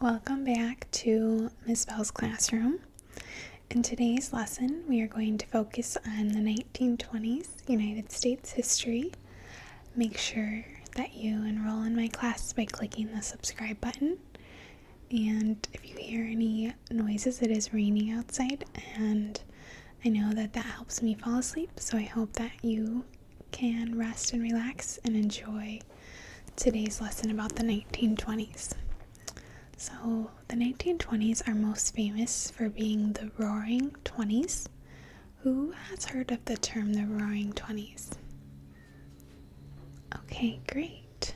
Welcome back to Ms. Bell's classroom. In today's lesson, we are going to focus on the 1920s United States history. Make sure that you enroll in my class by clicking the subscribe button. And if you hear any noises, it is raining outside, and I know that that helps me fall asleep, so I hope that you can rest and relax and enjoy today's lesson about the 1920s. So, the 1920s are most famous for being the Roaring Twenties. Who has heard of the term the Roaring Twenties? Okay, great.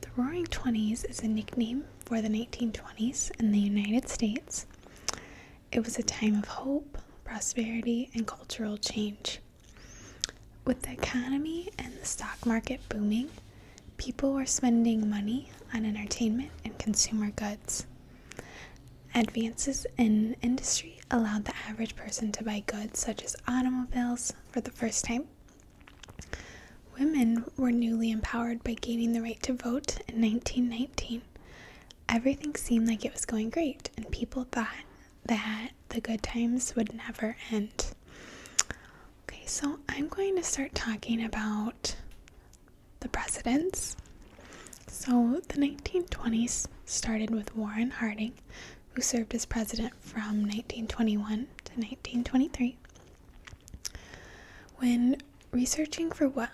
The Roaring Twenties is a nickname for the 1920s in the United States. It was a time of hope, prosperity, and cultural change. With the economy and the stock market booming, people were spending money on entertainment and consumer goods. Advances in industry allowed the average person to buy goods such as automobiles for the first time. Women were newly empowered by gaining the right to vote in 1919. Everything seemed like it was going great, and people thought that the good times would never end. Okay, so I'm going to start talking about the presidents. So the 1920s started with Warren Harding, who served as president from 1921 to 1923. When researching for what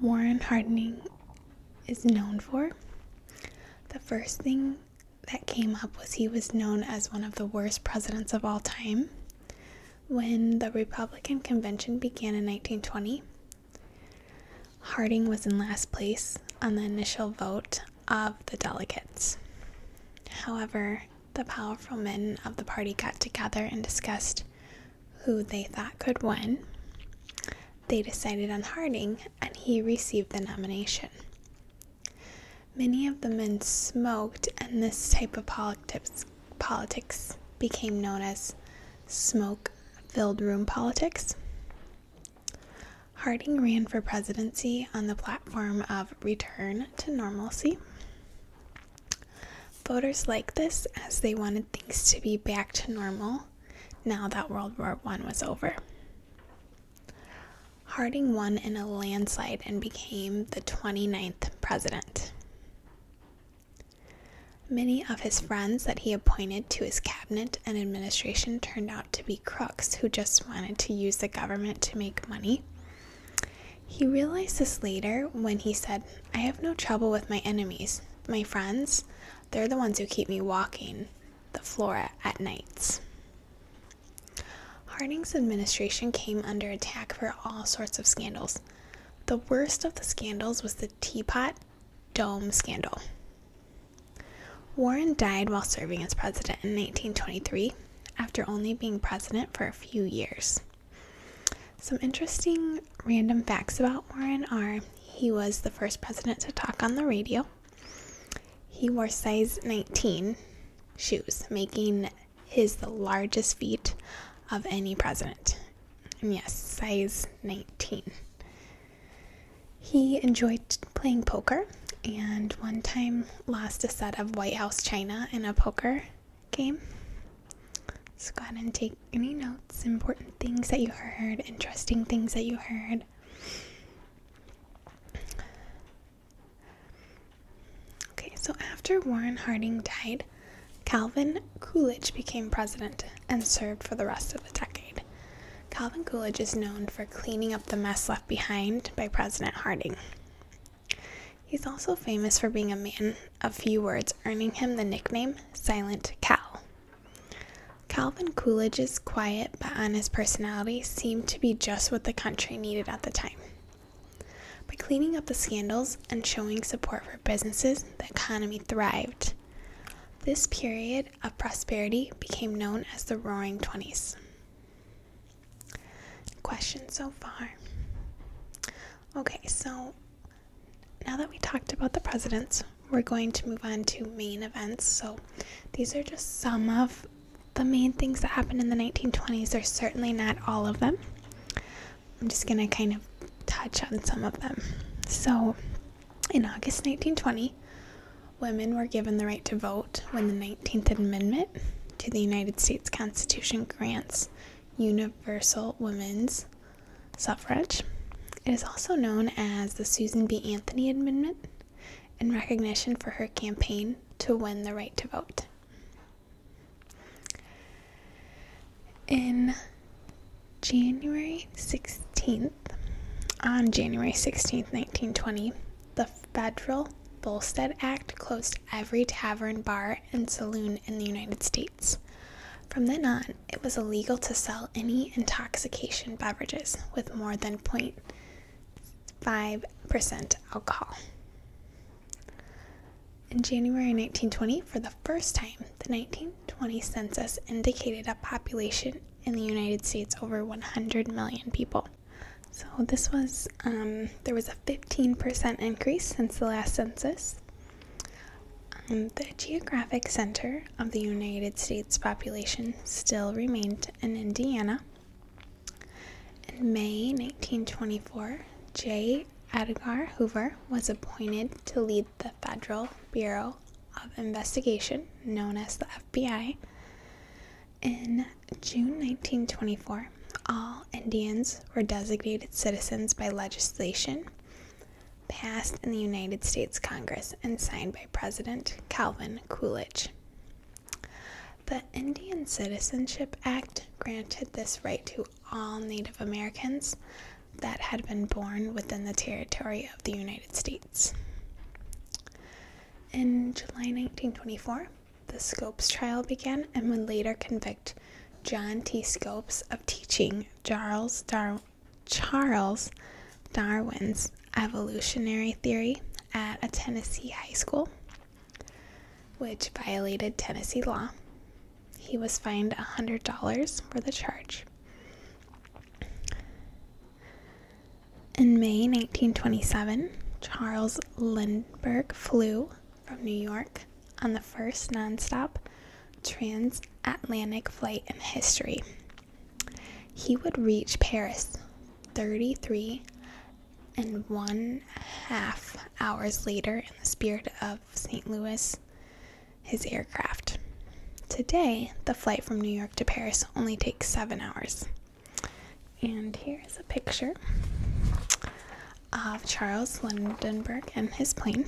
Warren Harding is known for, the first thing that came up was he was known as one of the worst presidents of all time. When the Republican convention began in 1920, Harding was in last place on the initial vote of the delegates. However, the powerful men of the party got together and discussed who they thought could win. They decided on Harding, and he received the nomination. Many of the men smoked, and this type of politics, became known as smoke filled room politics. Harding ran for presidency on the platform of return to normalcy. Voters liked this as they wanted things to be back to normal now that World War I was over. Harding won in a landslide and became the twenty-ninth president. Many of his friends that he appointed to his cabinet and administration turned out to be crooks who just wanted to use the government to make money. He realized this later when he said, I have no trouble with my enemies. My friends, they're the ones who keep me walking the flora at nights. Harding's administration came under attack for all sorts of scandals. The worst of the scandals was the Teapot Dome scandal. Warren died while serving as president in 1923 after only being president for a few years. Some interesting random facts about Warren are he was the first president to talk on the radio, he wore size 19 shoes, making his the largest feet of any president. And yes, size 19. He enjoyed playing poker and one time lost a set of White House china in a poker game. So go ahead and take any notes, important things that you heard, interesting things that you heard, Okay, so after Warren Harding died, Calvin Coolidge became president and served for the rest of the decade. Calvin Coolidge is known for cleaning up the mess left behind by President Harding. He's also famous for being a man of few words, earning him the nickname Silent Cal. Calvin Coolidge's quiet but honest personality seemed to be just what the country needed at the time. By cleaning up the scandals and showing support for businesses, the economy thrived. This period of prosperity became known as the Roaring Twenties. Question so far. Okay, so now that we talked about the presidents, we're going to move on to main events. So these are just some of the main things that happened in the 1920s. They're certainly not all of them. I'm just going to kind of touch on some of them. So in August 1920, women were given the right to vote when the 19th Amendment to the United States Constitution grants universal women's suffrage. It is also known as the Susan B. Anthony Amendment in recognition for her campaign to win the right to vote. In January 16th, on January 16, 1920, the federal Volstead Act closed every tavern, bar, and saloon in the United States. From then on, it was illegal to sell any intoxication beverages with more than point. 5% alcohol. In January 1920, for the first time, the 1920 census indicated a population in the United States over 100 million people. So this was um, there was a 15% increase since the last census. Um, the geographic center of the United States population still remained in Indiana. In May 1924, J. Edgar Hoover was appointed to lead the Federal Bureau of Investigation, known as the FBI. In June 1924, all Indians were designated citizens by legislation passed in the United States Congress and signed by President Calvin Coolidge. The Indian Citizenship Act granted this right to all Native Americans that had been born within the territory of the United States. In July 1924, the Scopes trial began and would later convict John T. Scopes of teaching Charles Darwin's evolutionary theory at a Tennessee high school, which violated Tennessee law. He was fined $100 for the charge. In May 1927, Charles Lindbergh flew from New York on the first nonstop transatlantic flight in history he would reach Paris 33 and one half hours later in the spirit of St. Louis, his aircraft. Today, the flight from New York to Paris only takes seven hours. And here's a picture of Charles Lindenberg and his plane.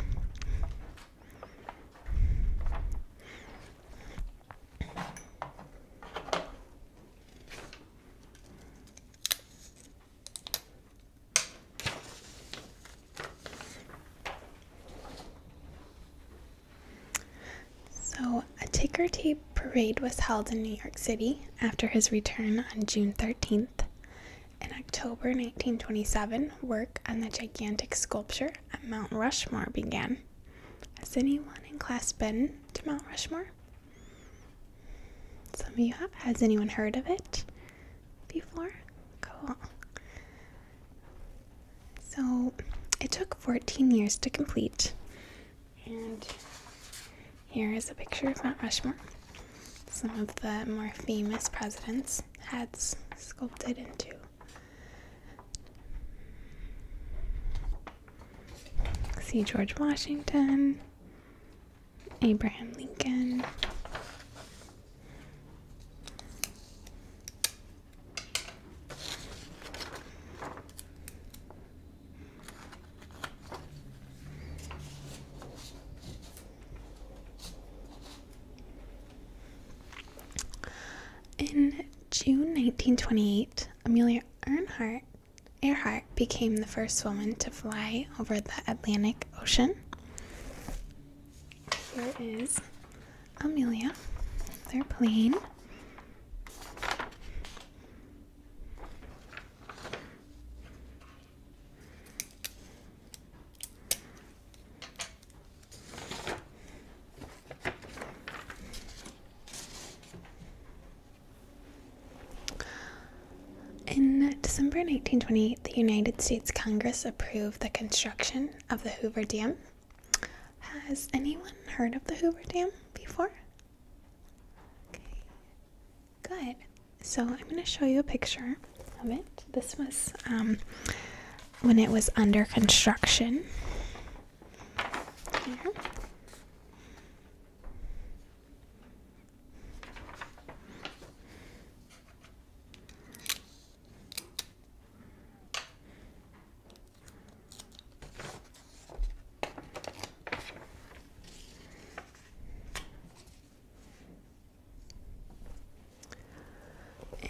So, a ticker tape parade was held in New York City after his return on June 13th. In October 1927, work on the gigantic sculpture at Mount Rushmore began. Has anyone in class been to Mount Rushmore? Some of you have. Has anyone heard of it before? Cool. So it took 14 years to complete. And here is a picture of Mount Rushmore. Some of the more famous presidents heads sculpted into See George Washington, Abraham Lincoln. In June 1928, Amelia Earhart became the first woman to fly over the Atlantic Ocean. Here is Amelia, their plane. In December 1928, the United States Congress approved the construction of the Hoover Dam. Has anyone heard of the Hoover Dam before? Okay, good. So I'm going to show you a picture of it. This was um, when it was under construction.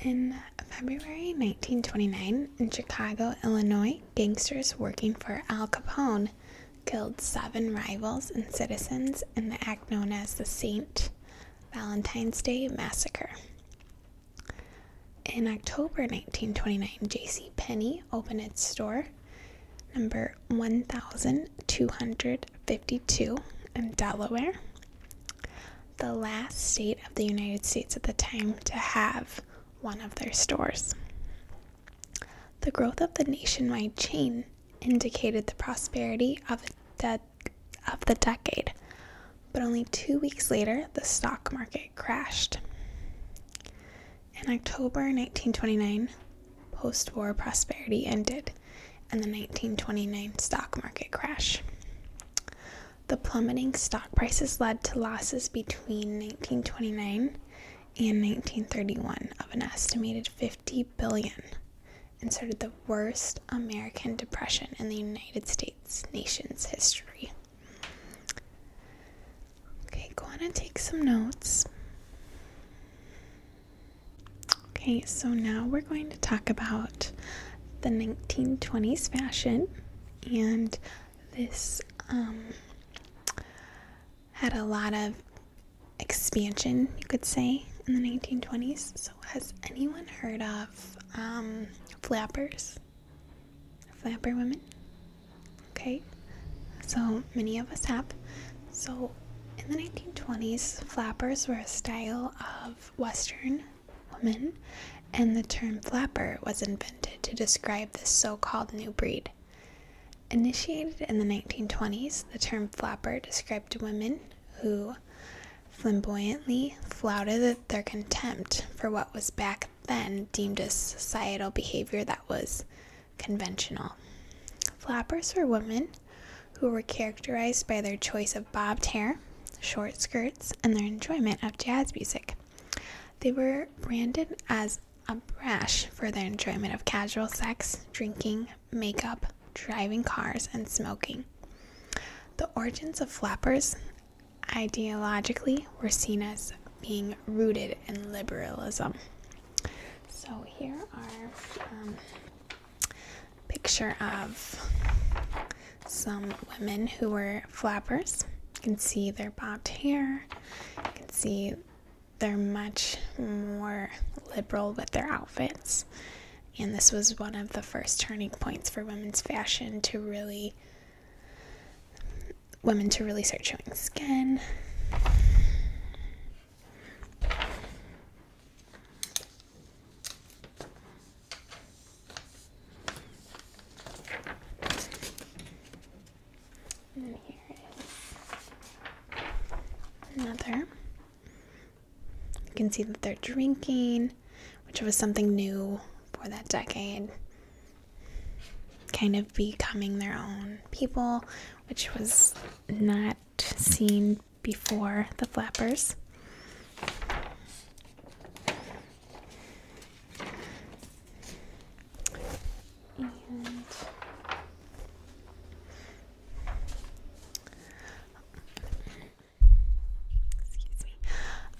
In February 1929, in Chicago, Illinois, gangsters working for Al Capone killed seven rivals and citizens in the act known as the St. Valentine's Day Massacre. In October 1929, J.C. Penney opened its store number 1252 in Delaware, the last state of the United States at the time to have one of their stores. The growth of the nationwide chain indicated the prosperity of, the decade, but only two weeks later, the stock market crashed. In October 1929, post war prosperity ended and the 1929 stock market crash. The plummeting stock prices led to losses between 1929 and 1931 of an estimated 50 billion and started the worst American depression in the United States nation's history. Okay, go on and take some notes. Okay, so now we're going to talk about the 1920s fashion and this um, had a lot of expansion, you could say, in the 1920s. So, has anyone heard of um, flappers? Flapper women? Okay, so many of us have. So, in the 1920s, flappers were a style of Western woman, and the term flapper was invented to describe this so called new breed. Initiated in the 1920s, the term flapper described women who flamboyantly flouted their contempt for what was back then deemed a societal behavior that was conventional. Flappers were women who were characterized by their choice of bobbed hair, short skirts, and their enjoyment of jazz music. They were branded as a brash for their enjoyment of casual sex, drinking, makeup, driving cars, and smoking. The origins of flappers ideologically were seen as being rooted in liberalism. So here are um, picture of some women who were flappers. You can see their bobbed hair. You can see they're much more liberal with their outfits. And this was one of the first turning points for women's fashion to really women to really start showing skin another. You can see that they're drinking, which was something new for that decade. Kind of becoming their own people, which was not seen before the flappers.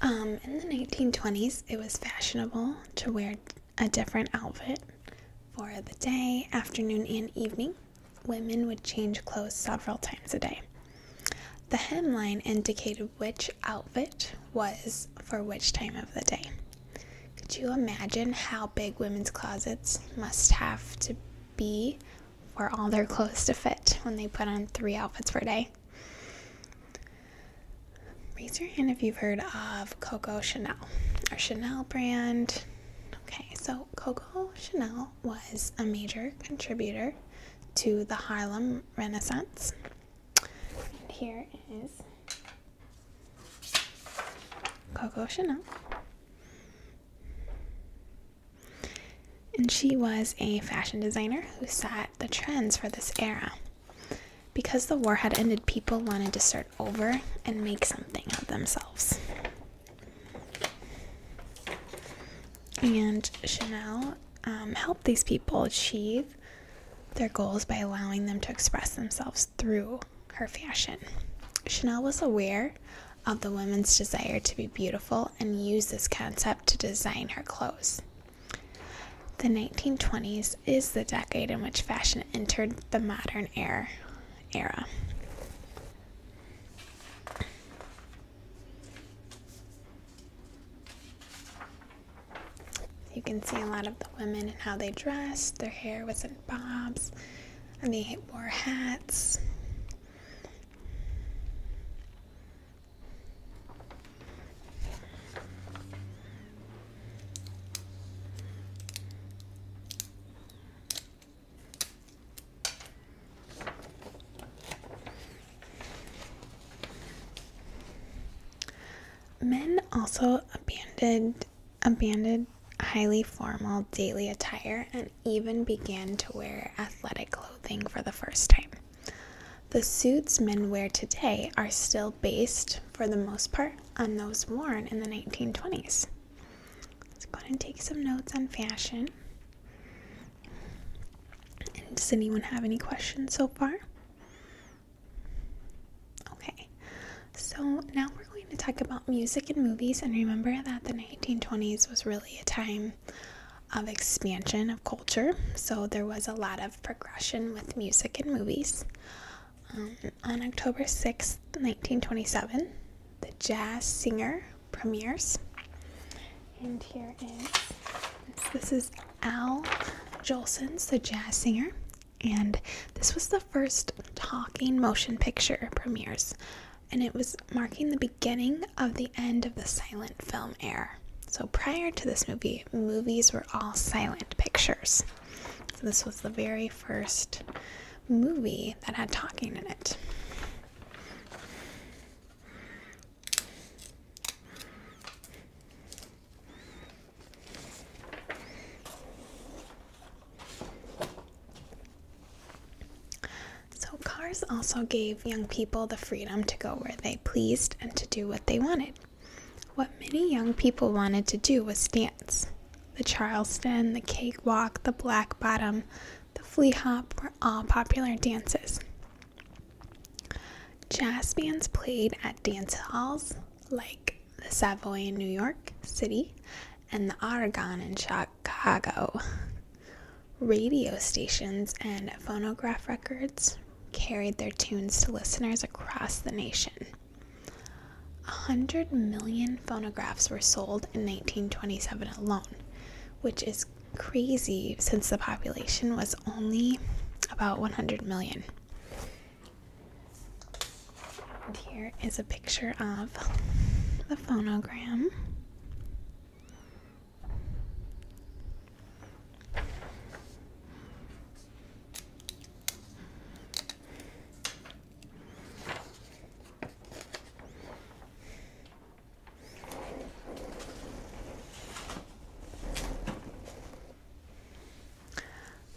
And um, in the 1920s, it was fashionable to wear a different outfit for the day, afternoon, and evening. Women would change clothes several times a day. The hemline indicated which outfit was for which time of the day. Could you imagine how big women's closets must have to be for all their clothes to fit when they put on three outfits per day? Raise your hand if you've heard of Coco Chanel or Chanel brand. Okay, so Coco Chanel was a major contributor to the Harlem Renaissance. And here is Coco Chanel. And she was a fashion designer who set the trends for this era. Because the war had ended, people wanted to start over and make something of themselves. And Chanel um, helped these people achieve their goals by allowing them to express themselves through her fashion. Chanel was aware of the women's desire to be beautiful and used this concept to design her clothes. The 1920s is the decade in which fashion entered the modern era. era. You can see a lot of the women and how they dressed. Their hair was in bobs, and they wore hats. Men also abandoned abandoned highly formal daily attire and even began to wear athletic clothing for the first time. The suits men wear today are still based, for the most part, on those worn in the 1920s. Let's go ahead and take some notes on fashion. does anyone have any questions so far? Okay, so now we're going to talk about music and movies, and remember that the 1920s was really a time of expansion of culture, so there was a lot of progression with music and movies. Um, on October 6th, 1927, the jazz singer premieres, and here is this is Al Jolson, the jazz singer, and this was the first talking motion picture premieres, and it was marking the beginning of the end of the silent film era. So prior to this movie, movies were all silent pictures. So this was the very first movie that had talking in it. So, cars also gave young people the freedom to go where they pleased and to do what they wanted. What many young people wanted to do was dance. The Charleston, the cakewalk, the black bottom, the flea hop were all popular dances. Jazz bands played at dance halls like the Savoy in New York City and the Aragon in Chicago. Radio stations and phonograph records carried their tunes to listeners across the nation. A hundred million phonographs were sold in 1927 alone, which is crazy since the population was only about 100 million. And here is a picture of the phonogram.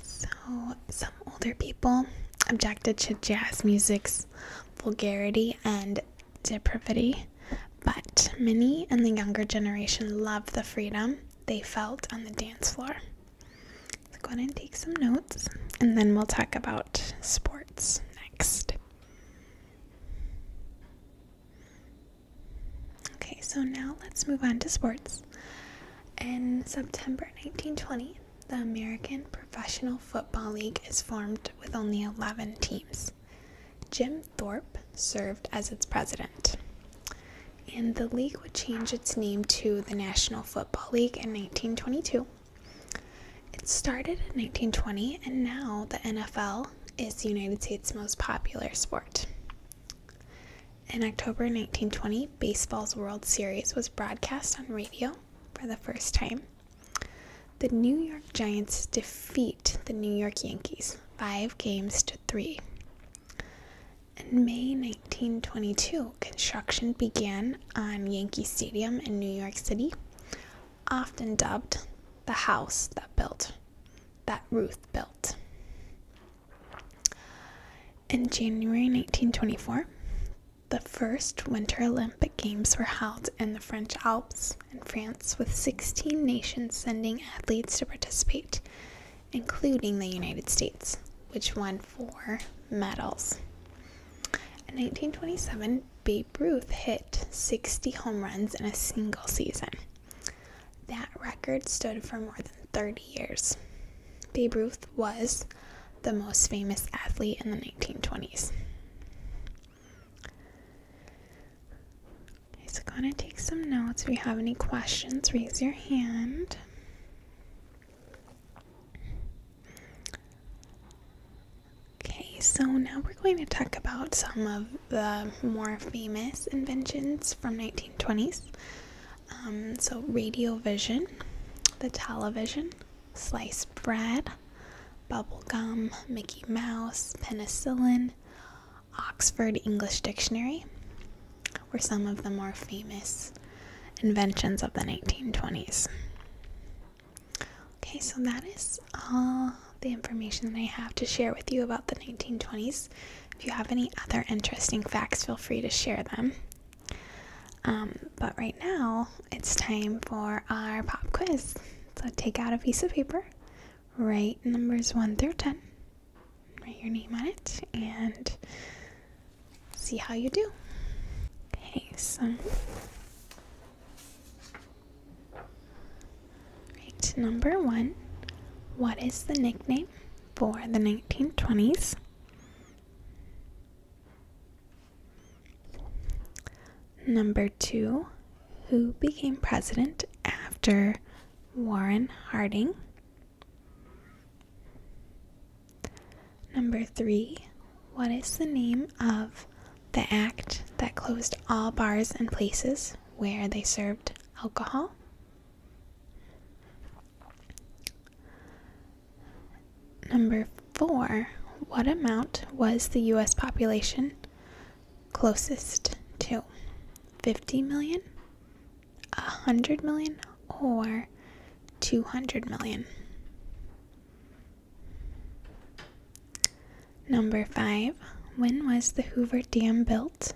So, some older people objected to jazz music's vulgarity and depravity, but many in the younger generation loved the freedom they felt on the dance floor. go ahead and take some notes, and then we'll talk about sports next. Okay, so now let's move on to sports. In September 1920, the American Professional Football League is formed with only 11 teams. Jim Thorpe served as its president. And the league would change its name to the National Football League in 1922. It started in 1920, and now the NFL is the United States' most popular sport. In October 1920, baseball's World Series was broadcast on radio for the first time. The New York Giants defeat the New York Yankees five games to three. In May 1922, construction began on Yankee Stadium in New York City, often dubbed the house that built that Ruth built. In January 1924, the first Winter Olympic Games were held in the French Alps in France, with 16 nations sending athletes to participate, including the United States, which won four medals. In 1927, Babe Ruth hit 60 home runs in a single season. That record stood for more than 30 years. Babe Ruth was the most famous athlete in the 1920s. Okay, so going to take some notes. If you have any questions, raise your hand. Okay, so now we're going to talk about some of the more famous inventions from 19 1920s. Um, so, radio vision, the television, sliced bread, bubblegum, Mickey Mouse, penicillin, Oxford English Dictionary were some of the more famous inventions of the 1920s. Okay, so that is all the information that I have to share with you about the 1920s. If you have any other interesting facts, feel free to share them. Um, but right now, it's time for our pop quiz. So take out a piece of paper, write numbers 1 through 10, write your name on it, and see how you do. Okay, so Right, number one. What is the nickname for the 1920s? Number two. Who became president after Warren Harding? Number three. What is the name of the act that closed all bars and places where they served alcohol? Number four, what amount was the US population closest to? 50 million, 100 million, or 200 million? Number five, when was the Hoover Dam built?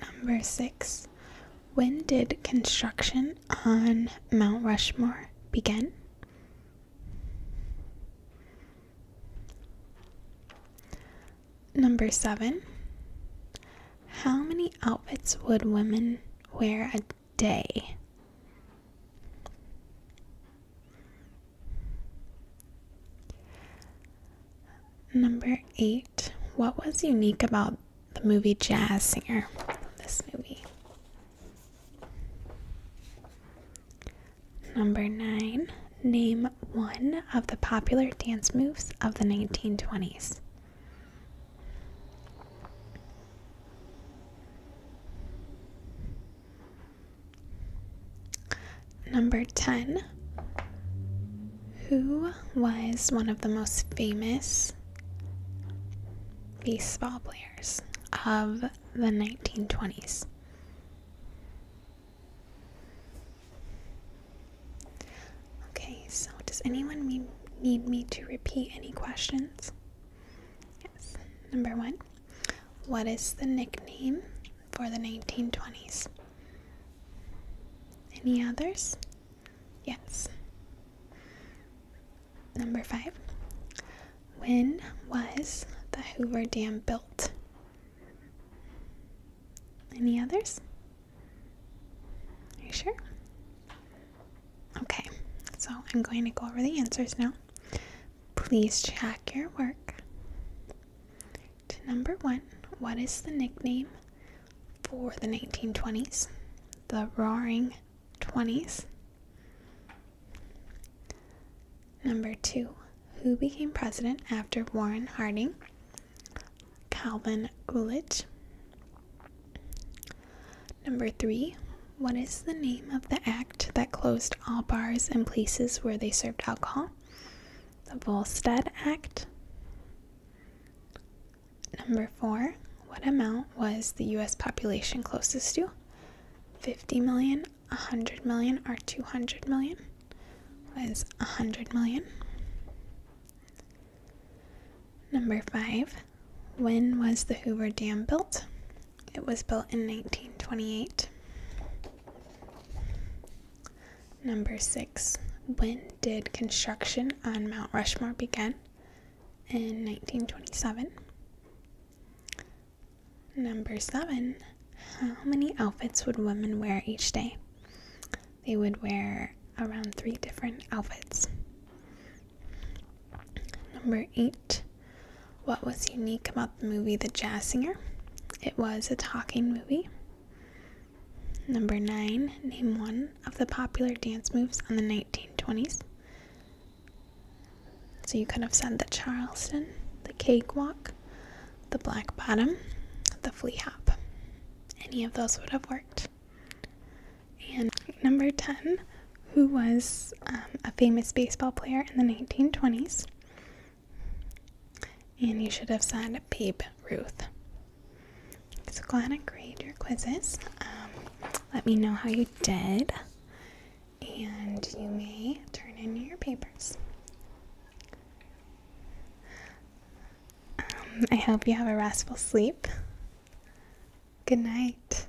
Number six. When did construction on Mount Rushmore begin? Number seven. How many outfits would women wear a day? Number eight, what was unique about the movie Jazz Singer? This movie. Number nine, name one of the popular dance moves of the 1920s. Number 10. Who was one of the most famous baseball players of the 1920s? Okay, so does anyone need me to repeat any questions? Yes. Number one. What is the nickname for the 1920s? Any others? Yes. Number five. When was the Hoover Dam built? Any others? Are you sure? Okay, so I'm going to go over the answers now. Please check your work. To number one, what is the nickname for the 1920s? The Roaring Twenties. Number two, who became president after Warren Harding? Calvin Coolidge. Number three, what is the name of the act that closed all bars and places where they served alcohol? The Volstead Act. Number four, what amount was the US population closest to? 50 million, 100 million, or 200 million? Was 100 million. Number five, when was the Hoover Dam built? It was built in 1928. Number six, when did construction on Mount Rushmore begin? In 1927. Number seven, how many outfits would women wear each day? They would wear around three different outfits. Number eight, what was unique about the movie The Jazz Singer? It was a talking movie. Number 9. Name one of the popular dance moves on the 1920s. So you could have said the Charleston, the Cakewalk, the Black Bottom, the Flea Hop. Any of those would have worked. And number 10 who was um, a famous baseball player in the 1920s. And you should have said Babe Ruth. So glad I graded your quizzes. Um, let me know how you did. And you may turn in your papers. Um, I hope you have a restful sleep. Good night.